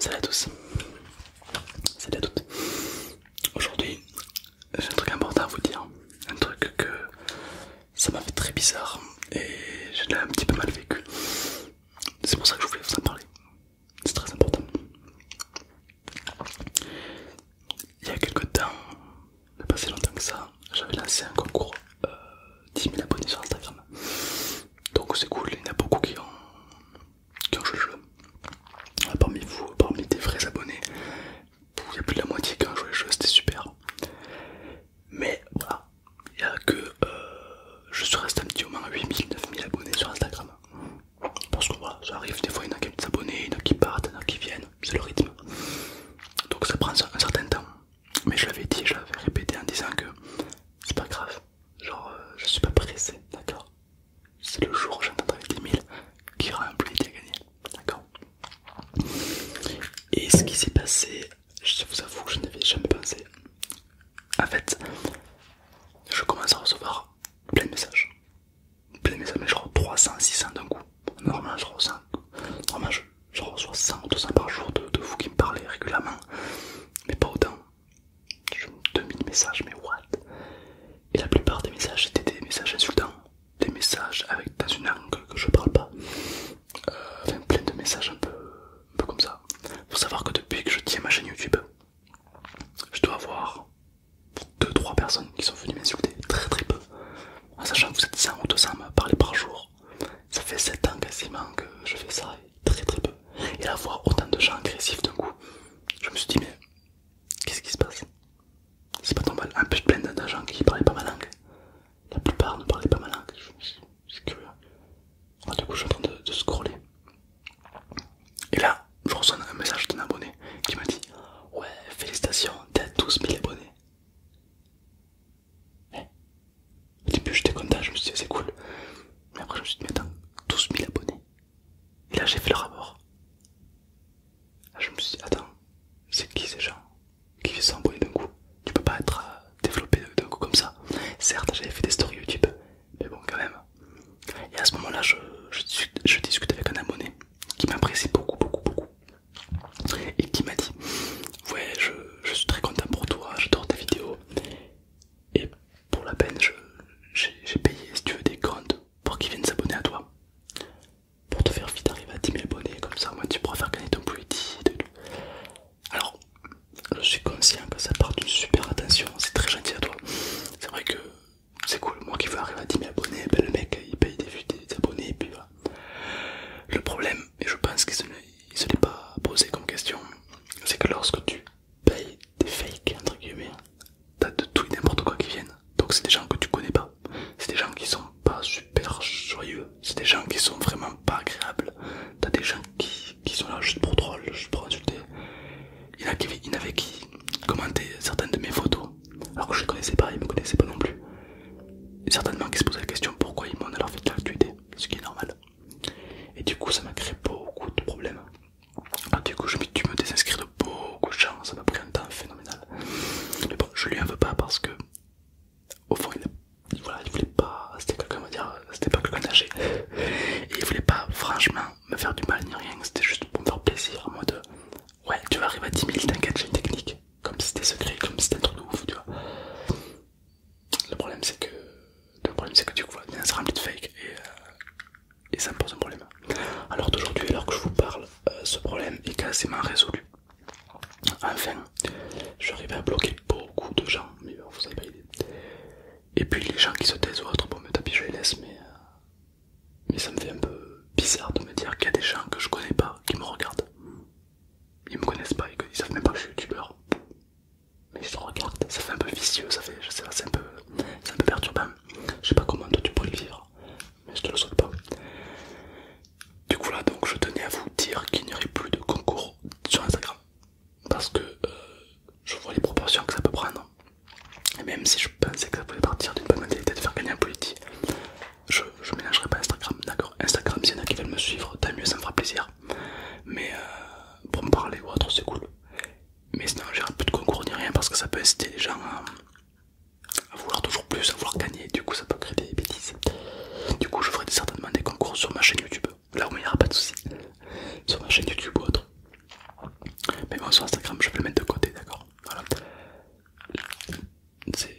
Salut à tous, salut à toutes. Aujourd'hui, j'ai un truc important à vous dire, un truc que ça m'a fait très bizarre et je l'ai un petit peu mal vécu. C'est pour ça que je voulais vous en parler, c'est très important. Il y a quelques temps, pas si longtemps que ça, j'avais lancé un concours 10 euh, 000 abonnés sur Instagram. Donc c'est cool, il y en a beaucoup qui ont quand je joué le jeu. Ah, parmi vous, parmi des vrais abonnés, il y a plus de la moitié qui je joue, le jeu, c'était super. Mais voilà, il y a que. Euh, je suis resté un petit moment à 8000, 9000 abonnés sur Instagram. Parce que voilà, ça arrive, des fois il y en a qui ont des abonnés, il y en a qui partent, il y en a qui viennent, c'est le rythme. Donc ça prend un certain temps. Mais je l'avais dit, je l'avais répété en disant que c'est pas grave, genre euh, je suis pas pressé, d'accord c'est le jour où j'entends travailler 10 000 qui aura un qui D'accord Et ce qui s'est passé, je vous avoue que je n'avais jamais pensé. En fait, je commence à recevoir plein de messages. Plein de messages, mais je 300, 600 d'un coup. Normalement, je reçois, je, reçois 100 ou 200 par jour de vous qui me parlez régulièrement, mais pas autant. 2000 messages, mais what Et la plupart des messages c'était des messages insultants, des messages avec dans une langue que je parle pas, euh, enfin plein de messages un peu, un peu comme ça. Faut savoir que depuis que je tiens ma chaîne YouTube, je dois avoir 2-3 personnes qui sont venues m'insulter, très très peu. En sachant que vous êtes 100 ou 200 à me parler par jour, ça fait 7 ans quasiment que je fais ça très très peu. Et la voir autant de gens agressifs d'un coup, je me suis dit, mais qu'est-ce qui se passe C'est pas ton mal, Un peu plein d'agents qui parlaient pas ma langue. La plupart ne parlaient pas ma langue. C'est curieux. Ah, du coup, je suis en train de, scroller. Et là, je reçois un message d'un abonné qui m'a dit Ouais, félicitations, t'as 12 000 abonnés. Eh. au début, j'étais content, je me suis dit, c'est cool. Mais après, je me suis dit, mais attends, 12 000 abonnés, et là j'ai fait le rapport ah, je me suis dit, attends, c'est qui ces gens qui fait d'un coup Tu peux pas être euh, développé d'un coup comme ça. Certes, j'avais fait des stories YouTube, mais bon, quand même. Et à ce moment-là, je, discute avec un abonné qui m'apprécie beaucoup, beaucoup, beaucoup. Et qui m'a dit, ouais, je, suis très content pour toi, j'adore ta vidéos pour la peine, j'ai payé, si tu veux, des comptes pour qu'ils viennent s'abonner à toi. Pour te faire vite arriver à 10 000 abonnés, comme ça, moi, tu pourras faire gagner ton petit. Alors, je suis conscient que ça part d'une super attention, c'est très gentil à toi. C'est vrai que c'est cool, moi qui veux arriver à 10 000 abonnés, ben, le mec il paye des vues des abonnés puis voilà. Le problème, et je pense qu'il ne se l'est pas posé comme question, c'est que lorsque tu paye des fakes entre guillemets. T'as de tout et n'importe quoi qui viennent. Donc c'est des gens que tu connais pas. C'est des gens qui sont pas super joyeux. C'est des gens qui sont vraiment pas agréables. T'as des gens qui, qui sont là juste pour troll, juste pour insulter. Il y a qui, il avait qui commentaient certaines de mes photos. Alors que je les connaissais pas, ils me connaissaient pas non plus. Certainement qui se posaient la question pourquoi ils m'ont alors fait de l'actualité, ce qui est normal. Et du coup ça m'a créé beaucoup de problèmes. Ah, du coup, je me, tu me désinscris de beaucoup de gens, ça m'a pris un temps phénoménal. Mais bon, je lui en veux pas parce que, au fond, il, voilà, voulait pas, c'était quelqu'un, dire, c'était pas quelqu'un d'âgé. Et il voulait pas, franchement, me faire du mal ni rien, c'était juste pour me faire plaisir, en mode, ouais, tu vas arriver à 10 000, t'inquiète, j'ai une technique, comme si c'était secret, comme si c'était un truc de ouf, tu vois. Le problème, c'est que, problème, c'est que du coup, c'est rempli de fake et. Euh, et ça me pose un problème. Alors d'aujourd'hui, alors que je vous parle, euh, ce problème est quasiment résolu. Enfin, je arrivé à bloquer beaucoup de gens, mais vous avez Et puis les gens qui se taisent ou autres, bon, me tapis, je les laisse, mais, euh, mais ça me fait un peu bizarre de me dire qu'il y a des gens que je connais pas qui me regardent. Ils me connaissent pas et qu'ils savent même pas que je suis youtubeur. Mais ils se regardent, ça fait un peu vicieux, ça fait, je sais pas, c'est un, un peu perturbant je sais pas comment toi tu pourrais le vivre, mais je te le souhaite pas. Du coup là donc je tenais à vous dire qu'il n'y aurait plus de concours sur Instagram parce que euh, je vois les proportions que ça peut prendre. Et même si je pensais que ça pouvait partir d'une bonne mentalité de faire gagner un politi, je ne pas Instagram, d'accord Instagram, s'il y en a qui veulent me suivre, tant mieux, ça me fera plaisir. Mais euh, pour me parler ou autre, c'est cool mais sinon j'ai plus de concours ni rien parce que ça peut inciter les gens à, vouloir toujours plus, à vouloir gagner, du coup ça peut créer des bêtises. Du coup je ferai certainement des concours sur ma chaîne YouTube, là où il n'y aura pas de soucis, sur ma chaîne YouTube ou autre. Mais bon sur Instagram je vais le mettre de côté, d'accord Voilà.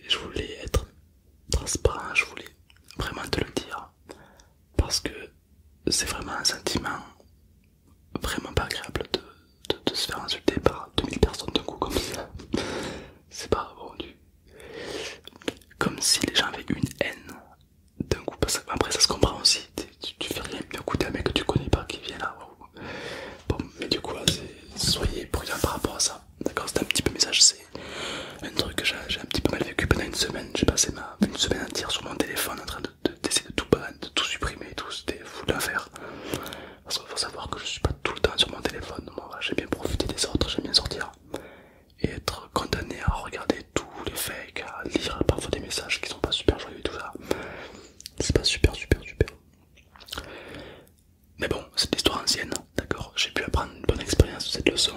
Je voulais être transparent, je voulais vraiment te le dire. Parce que c'est vraiment un sentiment vraiment pas agréable de, se faire insulter par 2000 personnes d'un coup comme ça. C'est pas bon Comme si les gens avaient une haine d'un coup. après ça se comprend aussi. Tu, fais rien d'un coup un mec que tu connais pas qui vient là. Bon mais du coup soyez prudents par rapport à ça. D'accord c'est un petit peu message. C'est un truc que j'ai un petit peu mal vécu pendant une semaine. J'ai passé ma, une semaine entière sur mon téléphone en train de d'essayer de, tout barrer, de tout supprimer tout, c'était fou l'enfer Parce qu'il faut savoir que je suis pas tout le temps sur mon téléphone, moi j'aime bien profiter des autres, j'aime bien sortir. Et être condamné à regarder tous les fakes, à lire parfois des messages qui sont pas super joyeux et tout ça. C'est pas super super super. Mais bon, c'est l'histoire ancienne, d'accord J'ai pu apprendre une bonne expérience de cette leçon.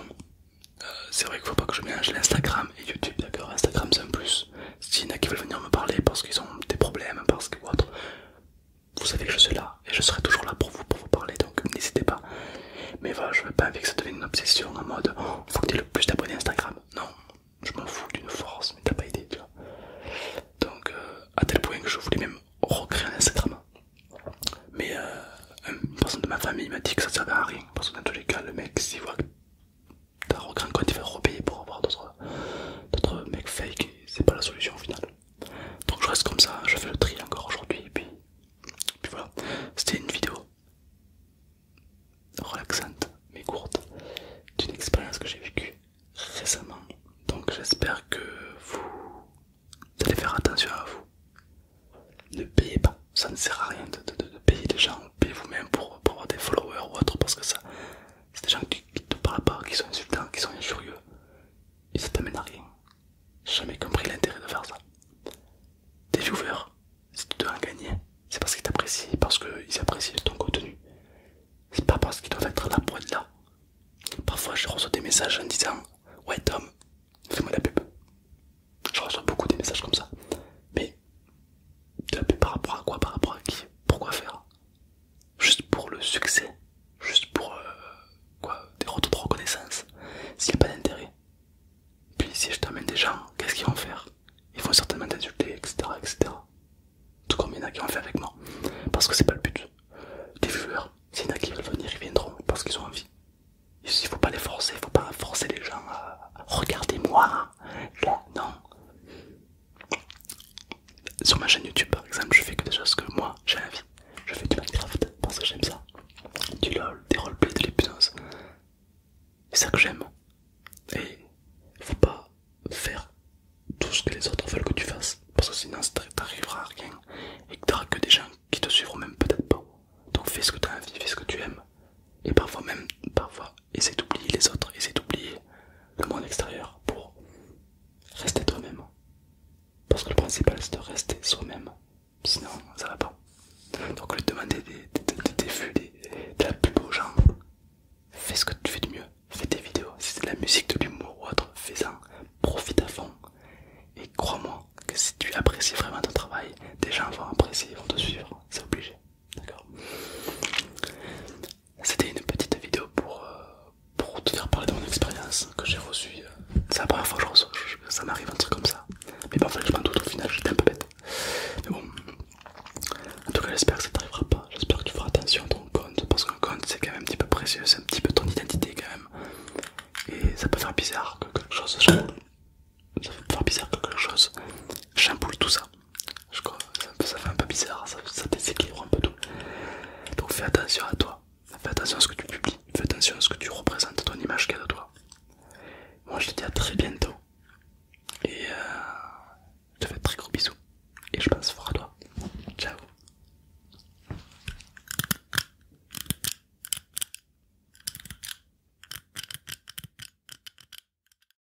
Euh, c'est vrai qu'il faut pas que je mélange l'Instagram et YouTube, d'accord Instagram c'est un plus s'il y en a qui veulent venir me parler parce qu'ils ont des problèmes, parce que ou vous savez que je suis là et je serai toujours là pour vous, pour vous parler, donc n'hésitez pas. Mais voilà, je veux pas que ça devienne une obsession en mode oh, faut que tu aies le plus d'abonnés Instagram. Non, je m'en fous d'une force, mais t'as pas idée, tu vois. Donc, euh, à tel point que je voulais même recréer un Instagram. Mais euh, une personne de ma famille m'a dit que ça servait à rien parce que dans tous les cas, le mec, s'y voit t'as grand compte il va repayer pour avoir d'autres mecs fake, c'est pas la solution au final. Donc je reste comme ça, je fais le tri encore aujourd'hui, et puis, voilà. C'était une vidéo relaxante mais courte d'une expérience que j'ai vécue récemment. Donc j'espère que vous allez faire attention à vous. Ne payez pas, ça ne sert à rien de, de payer les gens payez vous-même pour, avoir des followers ou autre parce que ça, c'est des gens qui, te parlent pas, qui sont insultants, qui sont injurieux et ça t'amène à rien. jamais compris l'intérêt de faire ça. des viewers, si tu dois en gagner, c'est parce qu'ils t'apprécient, parce qu'ils apprécient ton contenu. C'est pas parce qu'ils doivent être là pour être là. Parfois je reçois des messages en disant Ouais Tom, fais-moi la pub. Je reçois beaucoup des messages comme ça. Mais par rapport à quoi Par rapport à qui Pourquoi faire Juste pour le succès Juste pour euh, quoi des retours de reconnaissance S'il n'y a pas d'intérêt Puis si je t'amène des gens, qu'est-ce qu'ils vont faire Ils vont certainement t'insulter, etc., etc. Tout comme il y en a qui vont faire avec moi. Parce que c'est pas le but. des viewers, s'il y en a qui veulent venir, ils viendront parce qu'ils ont envie. Il ne faut pas les forcer, il faut pas forcer les gens à regarder moi. Là, non. Sur ma chaîne YouTube par exemple, je fais que des choses que moi j'ai envie. Je fais du Minecraft parce que j'aime ça, du LOL, des roleplays, de l'hypnose. C'est ça que j'aime. Et faut pas faire tout ce que les autres veulent que tu fasses parce que sinon t'arriveras à rien et que t'auras que des gens qui te suivront même peut-être pas. Donc fais ce que tu as envie, fais ce que tu aimes. Et parfois même, parfois c'est d'oublier les autres, et c'est d'oublier le monde extérieur pour rester toi-même. Parce que le principal c'est de rester soi-même, sinon ça va pas. Donc le demander des, vues, de la plus aux gens, fais ce que tu fais de mieux, fais tes vidéos, si c'est de la musique, de l'humour ou autre, fais-en, profite à fond. Et crois-moi que si tu apprécies vraiment ton travail, déjà gens vont apprécier, vont te suivre, c'est obligé. D'accord C'était une petite vidéo pour, euh, pour te faire parler de mon expérience que j'ai reçue. Euh, c'est la première fois que je reçois, ça m'arrive un truc comme ça. Mais parfois je m'en doute au final, j'étais un peu bête. Mais bon. En tout cas j'espère que ça t'arrivera pas, j'espère que tu feras attention à ton compte parce qu'un compte c'est quand même un petit peu précieux, c'est un petit peu ton identité quand même et ça peut faire bizarre que quelque chose ça peut faire bizarre que quelque chose chamboule tout ça je crois que ça fait un peu bizarre, ça, déséquilibre un peu tout. Donc fais attention à toi, fais attention à ce que tu publies, fais attention à ce que tu représentes, ton image qu'il y a de toi. Moi je te dis à très bientôt. Et euh, je te fais de très gros bisous. Et je pense fort à toi. Ciao.